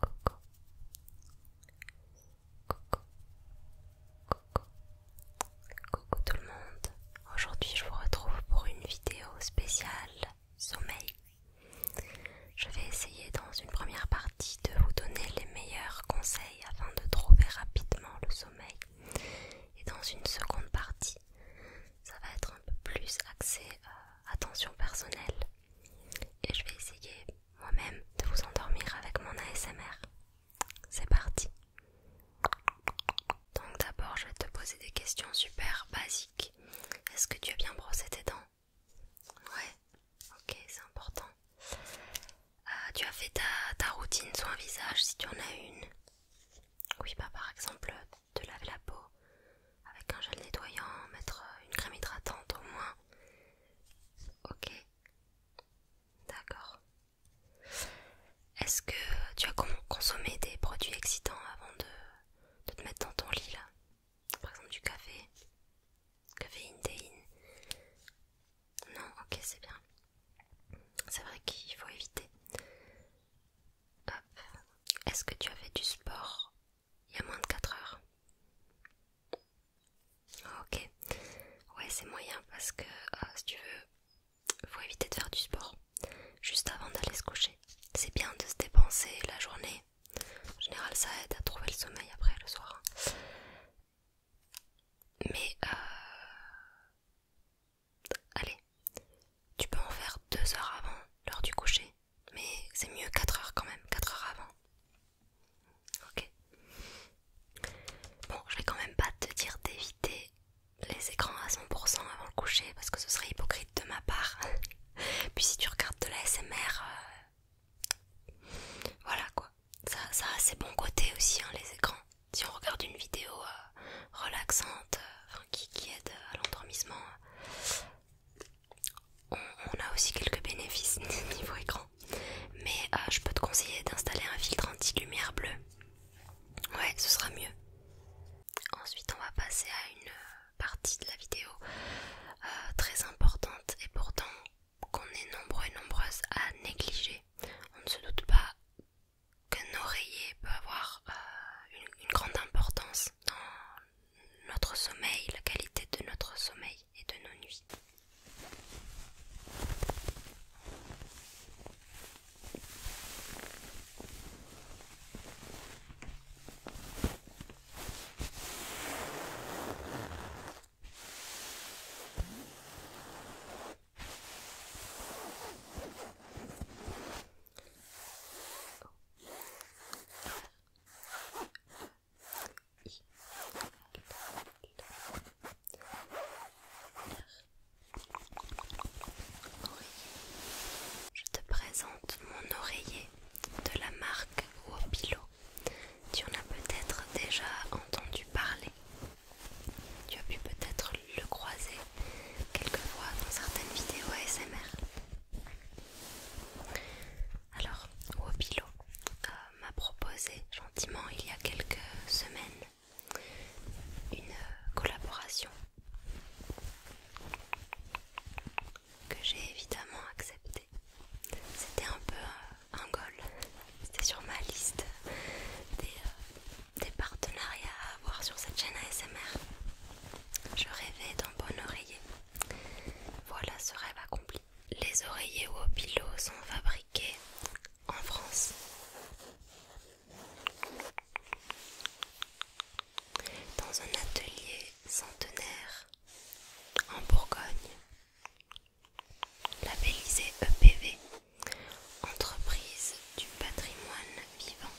Coucou. Coucou. Coucou. Coucou tout le monde. Aujourd'hui, je vous retrouve pour une vidéo spéciale sommeil. Je vais essayer dans une première partie de vous donner les meilleurs conseils afin de trouver rapidement le sommeil. Et dans une seconde partie, ça va être un peu plus axé à euh, attention personnelle et je vais essayer moi-même de vous endormir avec mon ASMR. C'est parti. Donc d'abord, je vais te poser des questions super basiques. Est-ce que tu as bien brossé tes dents Ouais. Ok, c'est important. Euh, tu as fait ta, ta routine soin visage si tu en as une Oui, bah par exemple, te laver la peau, avec un gel nettoyant, mettre euh, une crème hydratante au moins. Ok, d'accord. Est-ce que tu as consommé des produits excitants avant de, te mettre dans ton lit là Par exemple du café Caféine, Non, ok, c'est bien. C'est vrai qu'il faut éviter. Hop. Est-ce que tu as fait du sport il y a moins de 4 heures. Ok. Ouais, c'est moyen parce que euh, si tu veux, faut éviter de faire du sport juste avant d'aller se coucher. C'est bien de se dépenser la journée. En général, ça aide à trouver le sommeil après le soir. Mais euh, allez, tu peux en faire deux heures avant l'heure du coucher mais c'est mieux 4 heures quand même, 4 heures avant. Ok. Bon, je vais quand même pas te dire d'éviter les écrans à 100% avant le coucher parce que ce serait hypocrite de ma part. Puis si tu regardes de la SMR, euh, voilà quoi. Ça, ça a ses bons côtés aussi, hein, les écrans. Si on regarde une vidéo euh, relaxante, euh, qui, aide à l'endormissement, on, a aussi quelques bénéfices niveau écran. Mais euh, je peux te conseiller d'installer un filtre anti-lumière bleue. Ouais, ce sera mieux. Ensuite, on va passer à une euh, partie de la vidéo euh, très importante et pourtant qu'on est nombreux et nombreuses à négliger. On ne se doute pas qu'un oreiller peut avoir une, une grande importance dans notre sommeil, la qualité de notre sommeil et de nos nuits. Je te présente mon oreiller de la marque Wopilo. Tu en as peut-être déjà entendu parler. Tu as pu peut-être le croiser quelquefois dans certaines vidéos ASMR. Alors, Wopilo euh, m'a proposé gentiment il y a quelques semaines une collaboration que j'ai évidemment acceptée. C'était un peu un goal, c'était sur ma liste des, euh, des partenariats à avoir sur cette chaîne ASMR. Je rêvais d'un bon oreiller voilà ce rêve accompli. Les oreillers au pilot sont fabriqués en France. Dans un atelier centenaire en Bourgogne, labellisé EPV, entreprise du patrimoine vivant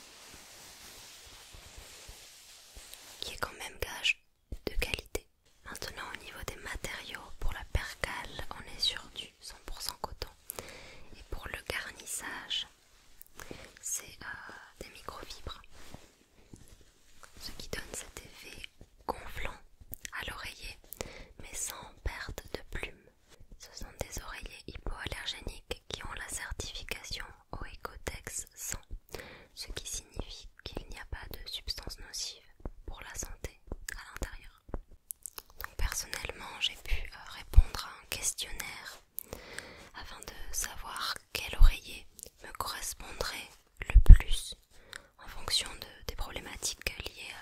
qui est quand même gage de qualité. Maintenant au niveau des matériaux, pour la percale on est sur du 100% coton et pour le garnissage c'est euh, des microfibres, ce qui donne cet effet gonflant à l'oreiller mais sans perte de plumes. Ce sont des oreillers hypoallergéniques qui ont la certification Oecotex 100 ce qui signifie qu'il n'y a pas de substances nocives pour la santé à l'intérieur. Donc personnellement, j'ai pu euh, répondre à un questionnaire afin de savoir quel oreiller me correspondrait le plus en fonction des problématiques liées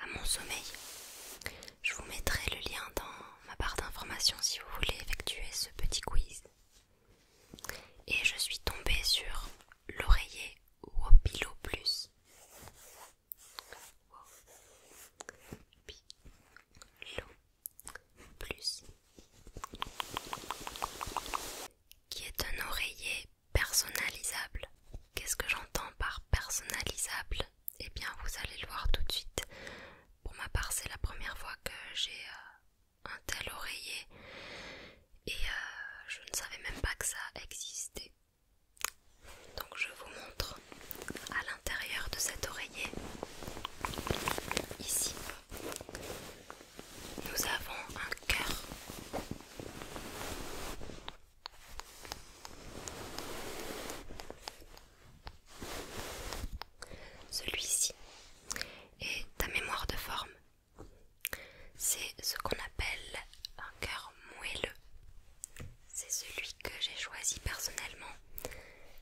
à, mon sommeil. Je vous mettrai le lien dans ma barre d'informations si vous voulez effectuer ce petit quiz et je suis tombée sur l'oreiller Wopilo Plus. Plus, qui est un oreiller personnalisable. Qu'est-ce que j'entends par personnalisable Eh bien, vous allez le voir tout de suite. Pour ma part, c'est la première fois que j'ai euh, un tel oreiller et euh, je ne savais même pas que ça existait. Donc je vous montre à l'intérieur de cet oreiller. Ici, nous avons un cœur. Celui-ci et ta mémoire de forme. C'est ce qu'on appelle un cœur moelleux. C'est celui que j'ai choisi personnellement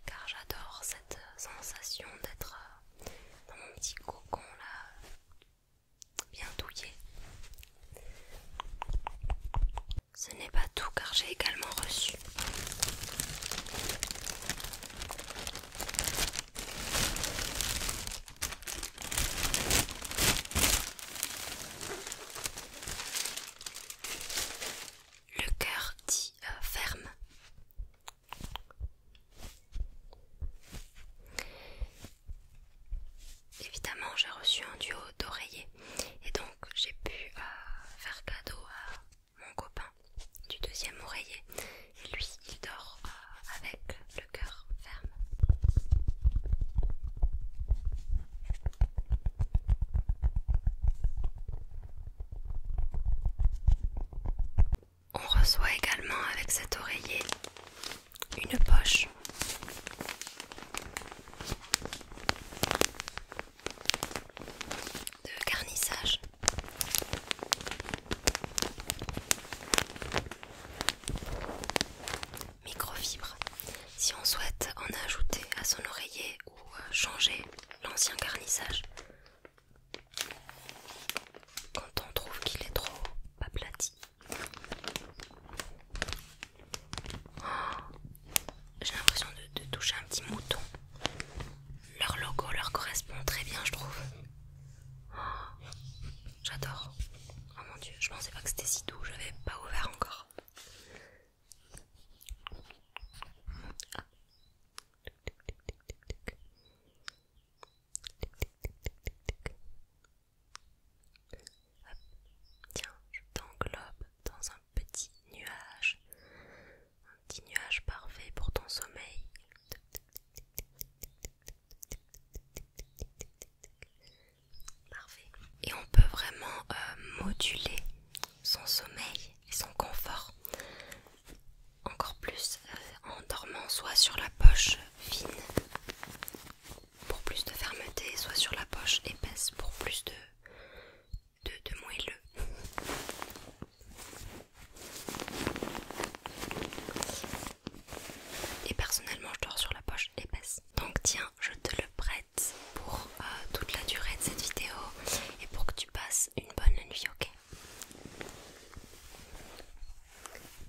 car j'adore cette sensation d'être euh, dans mon petit cocon là, bien douillé. Ce n'est pas tout car j'ai également reçu le cœur dit euh, ferme. Évidemment, j'ai reçu un duo d'oreiller et donc j'ai pu euh, faire cadeau à mon copain du deuxième oreiller. lui, il dort euh, avec le cœur ferme. On reçoit également avec cet oreiller une poche de garnissage. Microfibre. Si on souhaite en ajouter à son oreiller ou euh, changer l'ancien garnissage, quand on trouve qu'il est trop aplati. Oh, j'ai l'impression de toucher un petit mouton leur logo leur correspond très bien, je trouve. Oh, j'adore. Oh mon dieu, je pensais pas que c'était si doux, j'avais pas ouvert encore. Tiens, je t'englobe dans un petit nuage un petit nuage parfait pour ton sommeil. Parfait. Et on peut vraiment euh, moduler son sommeil et son confort encore plus euh, en dormant soit sur la poche fine pour plus de fermeté, soit sur la poche épaisse pour plus de de, de moelleux. Et personnellement, je dors sur la poche épaisse. Donc tiens, je te le prête pour euh, toute la durée de cette vidéo et pour que tu passes une bonne nuit, ok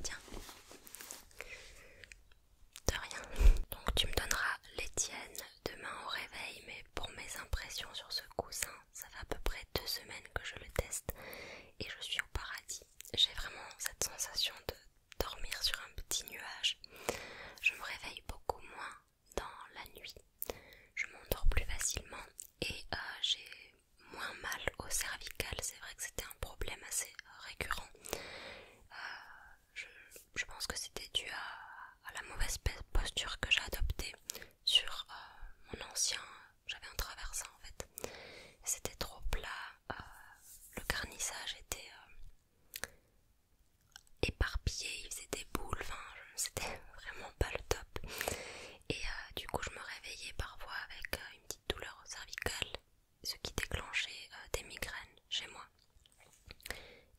Tiens. De rien. Donc tu me donneras les tiennes demain au réveil, mais pour mes impressions sur ce coussin, ça fait à peu près deux semaines que je le teste et je suis au paradis. J'ai vraiment cette sensation de dormir sur un petit nuage. Je me réveille beaucoup moins dans la nuit. Je m'endors plus facilement et euh, j'ai moins mal au cervical. C'est vrai que c'était un problème assez récurrent. Euh, je pense que c'était dû à, à la mauvaise posture que j'ai adoptée sur euh, mon ancien. J'avais un traversin en fait. C'était trop plat. Euh, le garnissage était euh, éparpillé, il faisait des boules, enfin, c'était vraiment pas le top. Et du coup, je me réveillais parfois avec une petite douleur cervicale, ce qui déclenchait des migraines chez moi.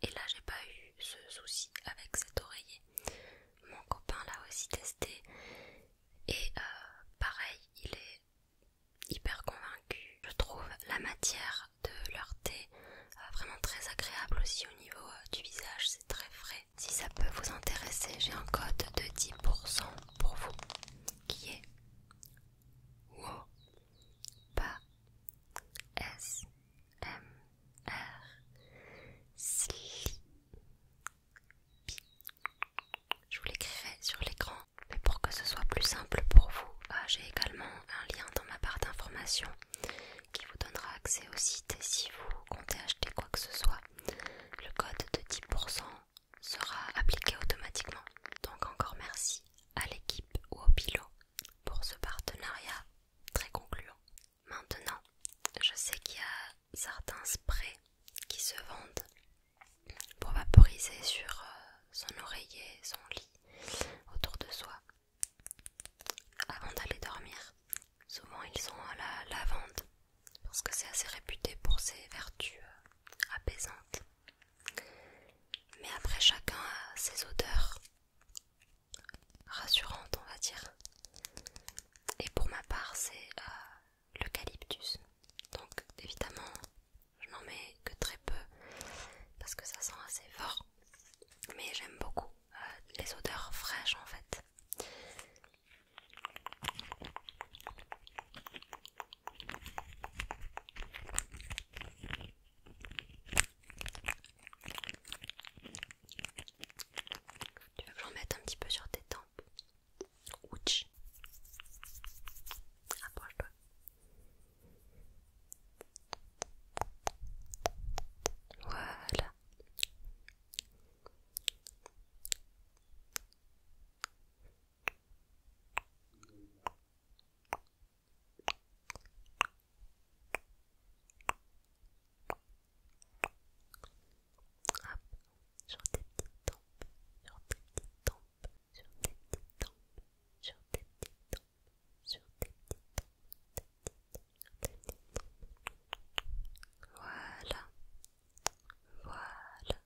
Et là, j'ai pas eu ce souci avec cet oreiller. Mon copain l'a aussi testé et euh, pareil, il est hyper convaincu. Je trouve la matière de leur thé euh, vraiment très agréable aussi au niveau euh, du visage, c'est très frais. Si ça peut vous intéresser, j'ai un code de 10% pour vous qui est pas S je vous l'écrirai sur l'écran, mais pour que ce soit plus simple pour vous, euh, j'ai également un lien dans ma barre d'informations qui vous donnera accès au site et si vous comptez acheter quoi que ce soit, le code de 10% sera appliqué automatiquement. Donc encore merci à l'équipe ou au pilot pour ce partenariat très concluant. Maintenant, je sais qu'il y a certains sprays qui se vendent pour vaporiser sur euh, son oreiller, son lit, autour de soi, avant d'aller dormir. Souvent, ils sont à la lavande parce que c'est assez réputé pour ses vertus euh, apaisantes. Mais après, chacun a ses odeurs rassurante, on va dire. Et pour ma part, c'est euh, l'eucalyptus. Donc, évidemment, je n'en mets que très peu parce que ça sent assez fort. Mais j'aime beaucoup euh, les odeurs fraîches en fait. Tu veux que un petit peu sur tes tempes Ouch Approche-toi. Voilà sur tes petites tempes, sur tes petites tempes, sur tes petites tempes, sur tes petites tempes, sur tes petites sur tes petites tempes. Voilà, voilà.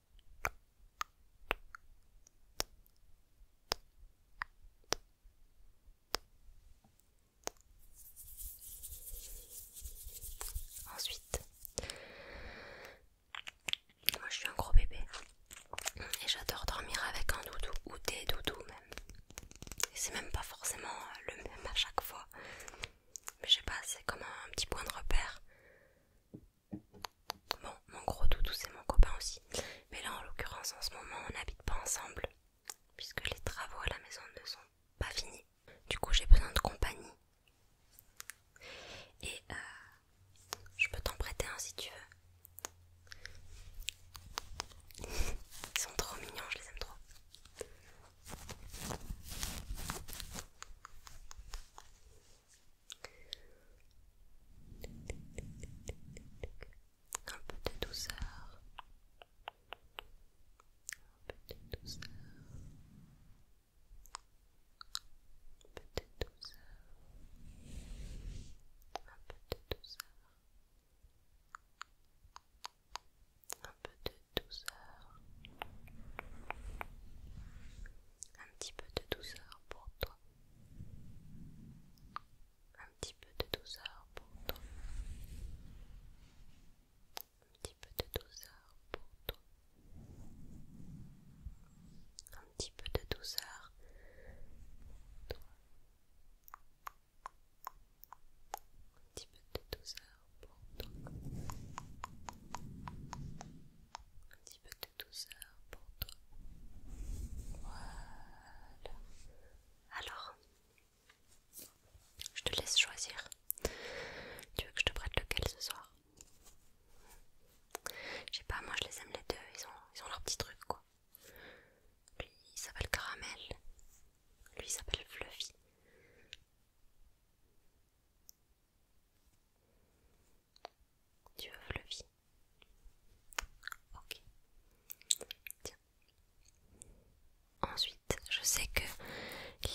Ensuite, moi je suis un gros bébé et j'adore dormir avec un doudou ou des doudous même. Et c'est même pas forcément euh, le même à chaque fois, mais je sais pas, c'est comme un petit point de repère. Bon, mon gros doudou c'est mon copain aussi, mais là en l'occurrence en ce moment on n'habite pas ensemble puisque les travaux à la maison ne sont pas fini. Du coup, j'ai besoin de compagnie. Et euh, je peux t'en prêter un si tu veux. Ils sont trop mignons, je les aime trop. Un peu de douceur. Un peu de douceur. Un peu de douceur. Un peu de douceur. Un peu de douceur. Un petit peu de douceur pour toi. Un petit peu de douceur pour toi. Un petit peu de douceur pour toi. Un petit peu de douceur pour toi. Un petit peu de douceur pour toi. Un petit peu de douceur pour toi. Voilà. Alors, je te laisse choisir. Tu veux que je te prête lequel ce soir Je sais pas, moi je les aime les deux, ils ont, ils ont leur petit truc quoi. Lui il s'appelle Caramel, lui il s'appelle Fluffy. Tu veux Fluffy Ok. Tiens, Ensuite, je sais que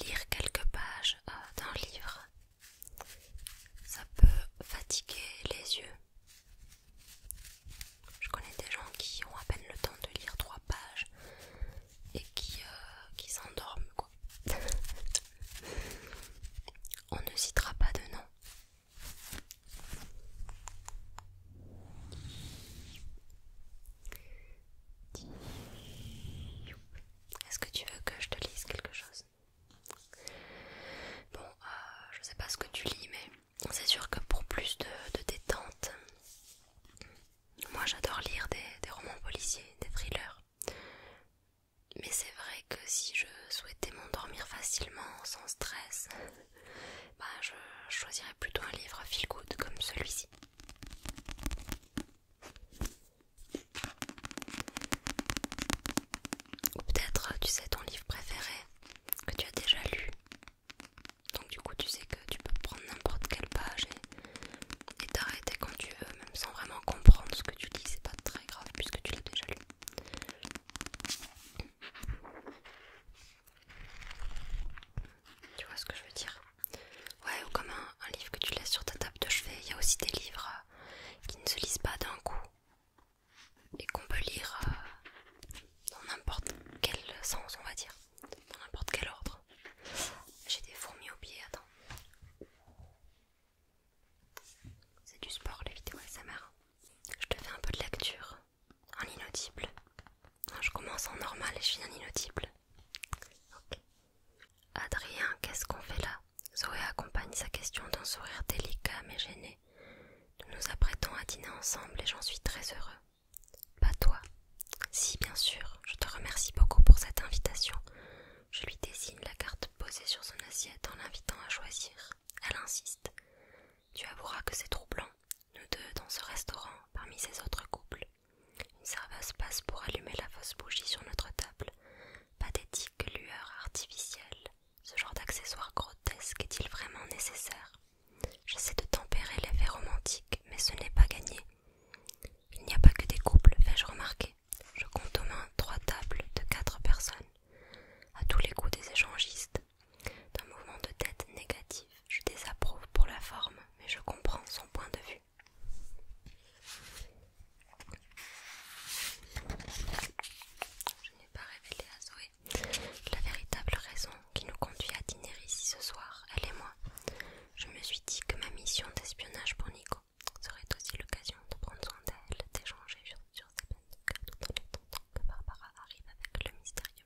lire quelques pages euh, d'un livre, ça peut fatiguer les yeux. Je connais des gens qui ont à peine le temps de lire trois pages et qui, euh, qui s'endorment quoi. On ne citera pas de nom. Est-ce que tu veux que je te lise quelque chose Bon, je euh, je sais pas ce que tu lis, mais c'est sûr que pour plus de, détente, moi j'adore lire des romans policiers, des thrillers. Mais c'est vrai que si je souhaitais m'endormir facilement, sans stress, bah, je choisirais plutôt un livre feel good comme celui-ci. Ou peut-être, tu sais, ton livre préféré que tu as déjà lu. Donc du coup, tu sais que tu peux prendre n'importe quelle page et t'arrêter quand tu veux, même sans vraiment comprendre ce que tu lis. C'est pas très grave puisque tu l'as déjà lu. Tu vois ce que je veux dire Ouais, ou comme un, livre que tu laisses sur ta table de chevet. Il y a aussi des livres euh, qui ne se lisent pas d'un coup et qu'on peut lire euh, dans n'importe quel sens, on va dire, dans n'importe quel ordre. J'ai des fourmis au pied, attends. C'est du sport, les vidéos SMR. Je te fais un peu de lecture en inaudible. Hein, je commence en normal et je finis en inaudible. Adrien, qu'est-ce qu'on fait là Zoé accompagne sa question d'un sourire délicat mais gêné. Nous nous apprêtons à dîner ensemble et j'en suis très heureux. Pas toi. Si, bien sûr, je te remercie beaucoup pour cette invitation. Je lui désigne la carte posée sur son assiette en l'invitant à choisir. Elle insiste. Tu avoueras que c'est troublant nous deux dans ce restaurant parmi ces autres couples. Une serveuse passe pour allumer la fausse bougie sur notre table. Pathétique lueur artificielle. Ce genre d'accessoire grotesque est-il vraiment nécessaire J'essaie de tempérer l'effet romantique, mais ce n'est pas gagné. Il n'y a pas que des couples, vais je remarquer. Je compte aux mains trois tables de quatre personnes. À tous les coups des échangistes, d'un mouvement de tête négatif, je désapprouve pour la forme, mais je comprends son point de vue. Je n'ai pas révélé à Zoé la véritable raison qui nous conduit à dîner ici ce soir, elle et moi. Je me suis dit que ma mission d'espionnage pour Nico serait aussi l'occasion de prendre soin d'elle, d'échanger sur, ses peines de en attendant que Barbara arrive avec le mystérieux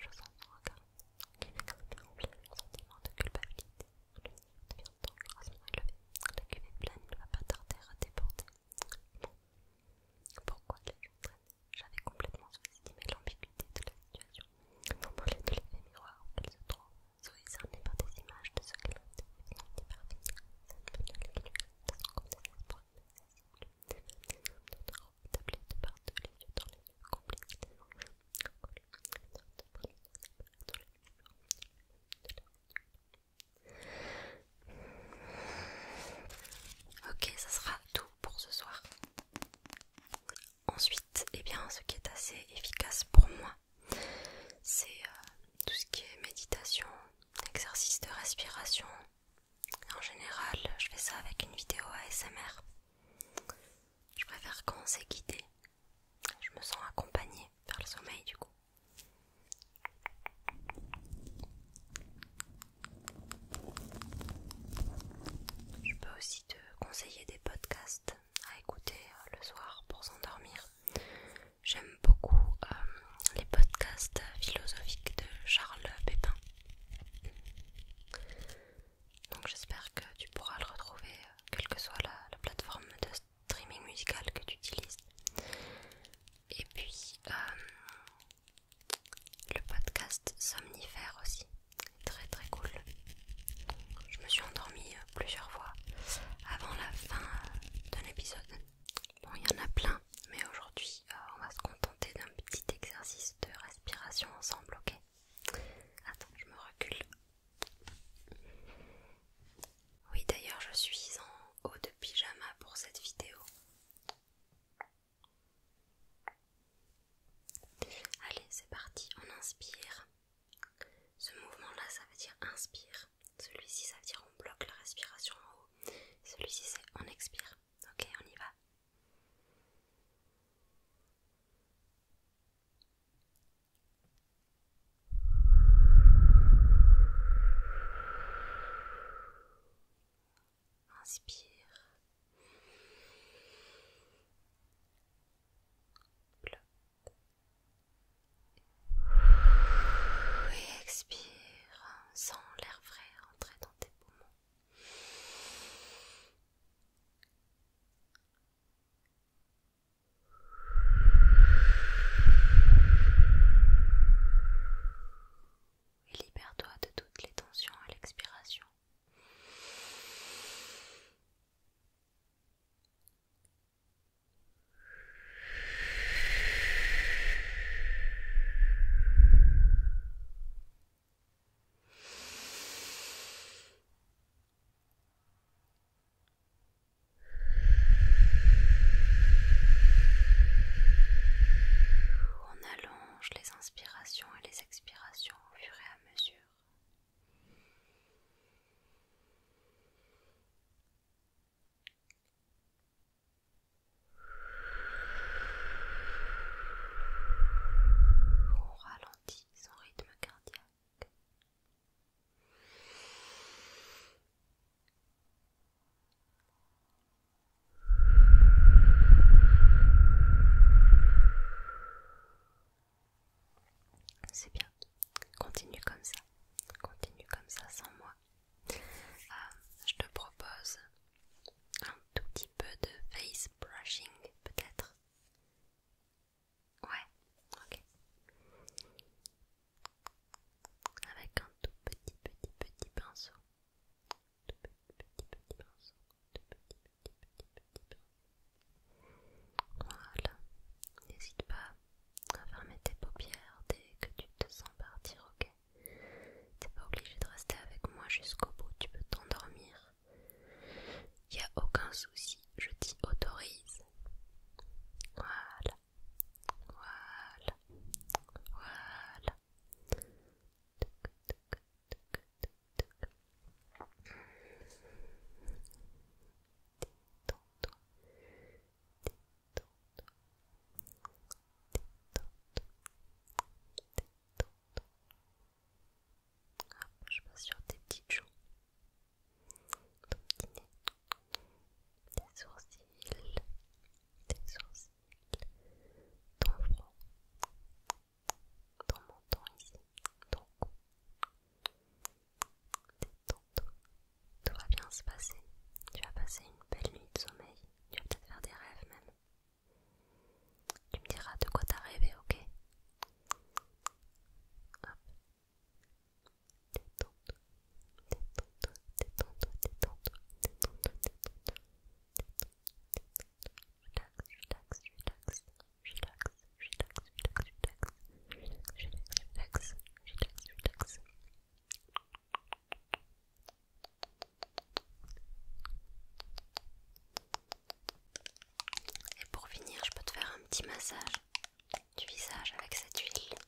Je sens son regard qui m'écrase rempli un sentiment de culpabilité. Le nid devient dangereusement élevé. La cuvée pleine ne va pas tarder à déborder. Bon. Pourquoi les yeux traînés J'avais complètement sous-estimé l'ambiguïté de la situation. Dans deux lèvres et miroirs, où ils se trouvent, Zoé cernée par des images de ce qu'elle ont été définitivement parvenue. Cette manière qui lui reste sans compte désespoir inaccessible. D'autres Ok, ça sera tout pour ce soir. Ensuite, et eh bien, ce qui est assez efficace pour moi, c'est euh, tout ce qui est méditation, exercice de respiration. En général, je fais ça avec une vidéo ASMR. Je préfère quand on Je me sens accompagnée vers le sommeil du coup. Je peux aussi te conseiller des podcasts à écouter euh, le soir pour s'endormir. J'aime beaucoup euh, les podcasts philosophiques de Charles Pépin. Donc j'espère que tu pourras le retrouver, euh, quelle que soit la, plateforme de streaming musical que tu utilises. Et puis euh, le podcast Somnifère aussi, très très cool. Je me suis endormie euh, plusieurs fois avant la fin d'un épisode. Bon, il y en a plein, mais aujourd'hui on va se contenter d'un petit exercice de respiration ensemble, ok Attends, je me recule. Oui, d'ailleurs, je suis en haut de pyjama pour cette vidéo. Allez, c'est parti, on inspire. Ce mouvement-là, ça veut dire inspire. Celui-ci, ça veut dire on bloque la respiration en haut. Celui-ci, c'est on expire. Ok, on y va. Inspire. expire. Sens l'air frais rentrer dans tes poumons. Et libère-toi de toutes les tensions à l'expiration. On allonge les inspirations et les expirations au fur et à mesure son rythme cardiaque. C'est bien, continue comme ça, continue comme ça sans moi. Euh, je te propose un tout petit peu de face brushing peut-être Ouais, ok. Avec un tout petit, petit, petit pinceau. Tout petit, petit, petit pinceau. Tout petit, petit, petit, petit pinceau. Voilà. N'hésite pas à fermer tes paupières dès que tu te sens partir, ok T'es pas obligé de rester avec moi jusqu'au bout, tu peux t'endormir il n'y a aucun souci, je t'y autorise. Voilà. Voilà. Voilà je passe sur tes petites joues, ton nez, tes sourcils, tes sourcils, ton front, ton menton ici, ton cou, tes tontos, Tout va bien se passer. Tu vas passer une belle nuit de sommeil. Tu vas peut-être faire des rêves même. Tu me diras de quoi t'as rêvé, ok et pour finir, je peux te faire un petit massage du visage avec cette huile.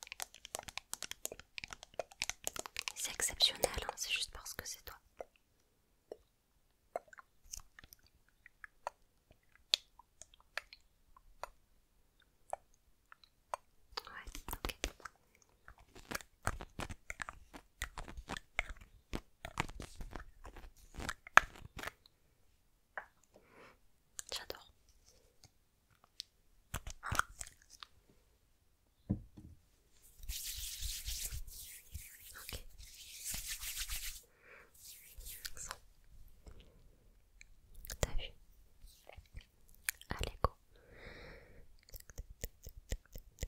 C'est exceptionnel, hein, c'est juste parce que c'est toi. Ouais, ok. J'adore. Ok. T'as vu Allez, go.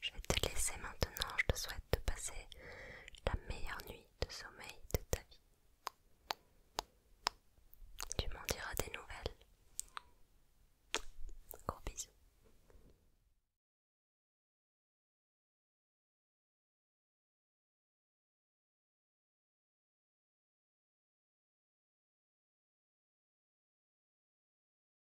Je vais te laisser maintenant. Je te souhaite de passer la meilleure nuit de sommeil de ta vie. Tu m'en diras des nouvelles. Gros bisous.